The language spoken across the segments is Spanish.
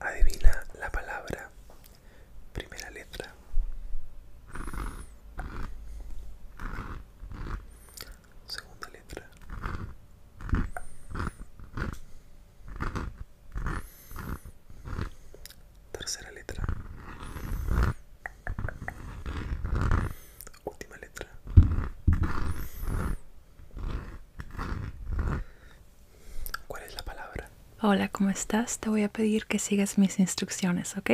Adivina la palabra. Primera letra. Segunda letra. Tercera letra. Última letra. ¿Cuál es la palabra? Hola, ¿cómo estás? Te voy a pedir que sigas mis instrucciones, ¿ok?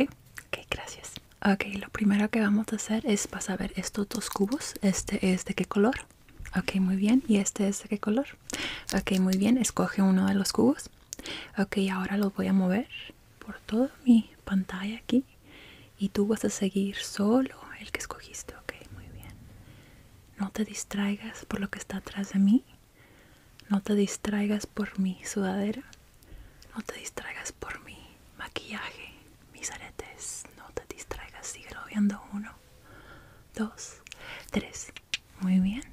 Ok, gracias. Ok, lo primero que vamos a hacer es pasar a ver estos dos cubos. Este es de qué color. Ok, muy bien. ¿Y este es de qué color? Ok, muy bien. Escoge uno de los cubos. Ok, ahora los voy a mover por toda mi pantalla aquí y tú vas a seguir solo el que escogiste, ok, muy bien. No te distraigas por lo que está atrás de mí, no te distraigas por mi sudadera, no te distraigas por mi maquillaje, mis aretes, no te distraigas, sigue viendo uno, dos, tres, muy bien.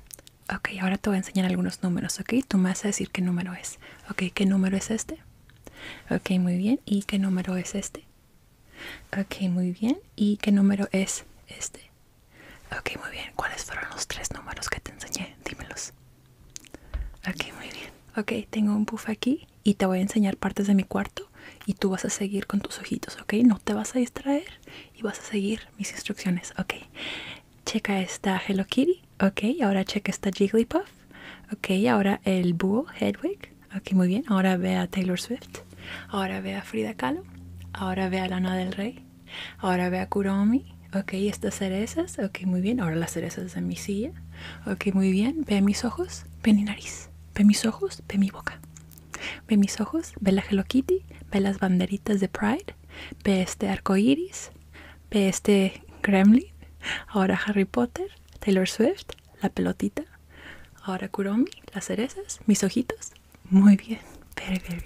Ok, ahora te voy a enseñar algunos números, ok, tú me vas a decir qué número es, ok, qué número es este, ok, muy bien, y qué número es este. Ok, muy bien. ¿Y qué número es este? Ok, muy bien. ¿Cuáles fueron los tres números que te enseñé? Dímelos. Ok, muy bien. Ok, tengo un puff aquí y te voy a enseñar partes de mi cuarto y tú vas a seguir con tus ojitos, ¿ok? No te vas a distraer y vas a seguir mis instrucciones, ¿ok? Checa esta Hello Kitty, ¿ok? Ahora checa esta Jigglypuff Ok, ahora el búho Hedwig. Ok, muy bien. Ahora ve a Taylor Swift. Ahora ve a Frida Kahlo. Ahora ve a Lana del Rey. Ahora ve a Kuromi. Ok, estas cerezas. Ok, muy bien. Ahora las cerezas en mi silla. Ok, muy bien. Ve a mis ojos. Ve mi nariz. Ve mis ojos. Ve mi boca. Ve mis ojos. Ve la Hello Kitty. Ve las banderitas de Pride. Ve este arco iris. Ve este Gremlin. Ahora Harry Potter. Taylor Swift, la pelotita. Ahora Kuromi, las cerezas, mis ojitos Muy bien, very, good.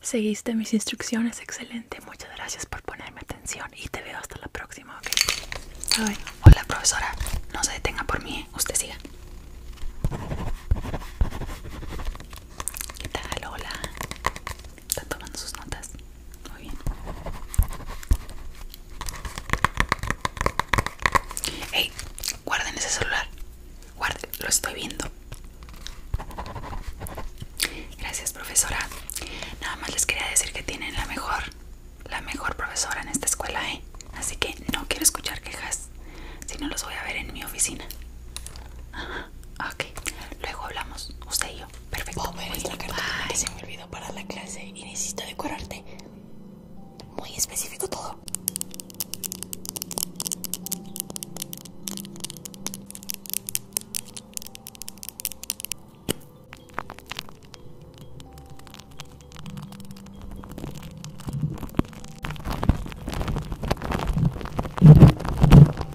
Seguiste mis instrucciones, excelente. Muchas gracias por ponerme atención y te veo hasta la próxima, ¿ok? Hola, profesora. No se detenga por mí, ¿eh? usted siga. ¿Qué tal? Hola. Está tomando sus notas. Muy bien. Hey, guarden ese celular. Guarden, lo estoy viendo. Gracias, profesora. Nada más les quería decir que tienen la mejor, la mejor profesora en esta escuela, ¿eh? Así que no quiero escuchar quejas. Si no, los voy a ver en mi oficina. Ajá, ok. Luego hablamos. Usted y yo Perfecto. ¿Puedo la carta que se me olvidó para la clase y necesito decorarte? Muy específico todo.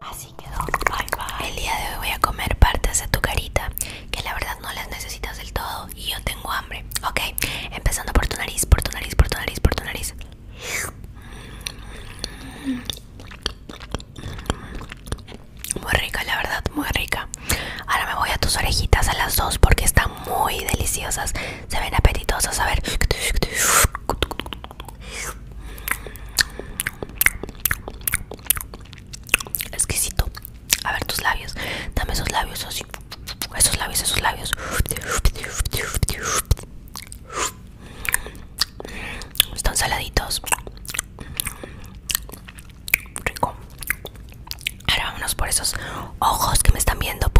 Así quedó. El día de hoy voy a comer partes de tu carita, que la verdad no las necesitas del todo y yo tengo hambre. Ok, empezando por tu nariz, por tu nariz, por tu nariz, por tu nariz. Muy rica, la verdad, muy rica. Ahora me voy a tus orejitas a las dos porque están muy deliciosas. Se ven apetitosas. A ver. Exquisito. A ver tus labios. Dame esos labios Esos labios, esos labios. Están saladitos. Rico. Ahora vámonos por esos ojos que me están viendo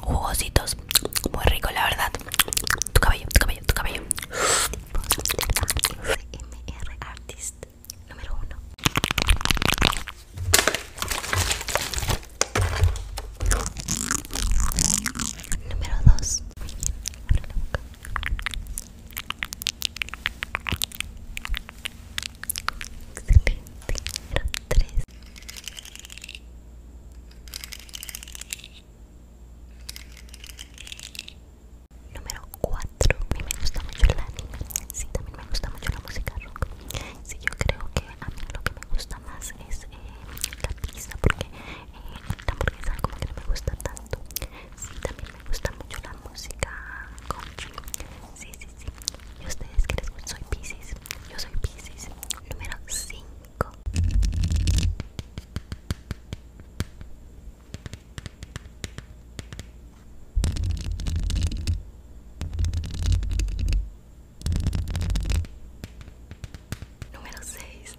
jugositos muy rico la verdad tu cabello tu cabello tu cabello MR artist número uno número dos muy bien abre la boca Excelente, número tres. Número 4. A mí me gusta mucho el anime. Sí, también me gusta mucho la música rock. Sí, yo creo que a mí lo que me gusta más es eh, la pizza, porque eh, la hamburguesa como que no me gusta tanto. Sí, también me gusta mucho la música Sí, sí, sí. ¿Y ustedes qué les gusta? Soy Pisces. Yo soy Pisces número 5. Número 6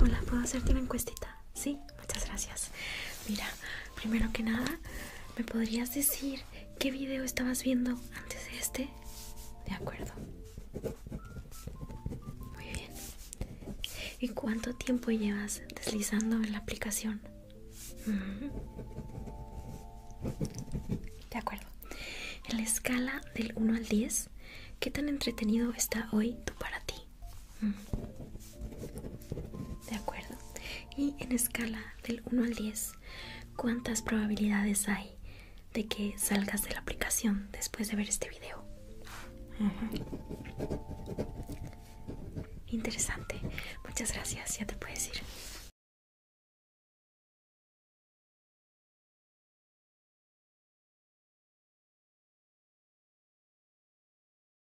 Hola, ¿puedo hacerte una encuestita? Sí, muchas gracias. Mira, primero que nada, ¿me podrías decir qué video estabas viendo antes de este. De acuerdo. Muy bien. ¿Y cuánto tiempo llevas deslizando en la aplicación? De acuerdo. En la escala del 1 al 10, ¿qué tan entretenido está hoy tú para ti? De acuerdo. Y en escala del 1 al 10, ¿cuántas probabilidades hay de que salgas de la aplicación después de ver este video? Interesante. Muchas gracias. Ya te puedes ir.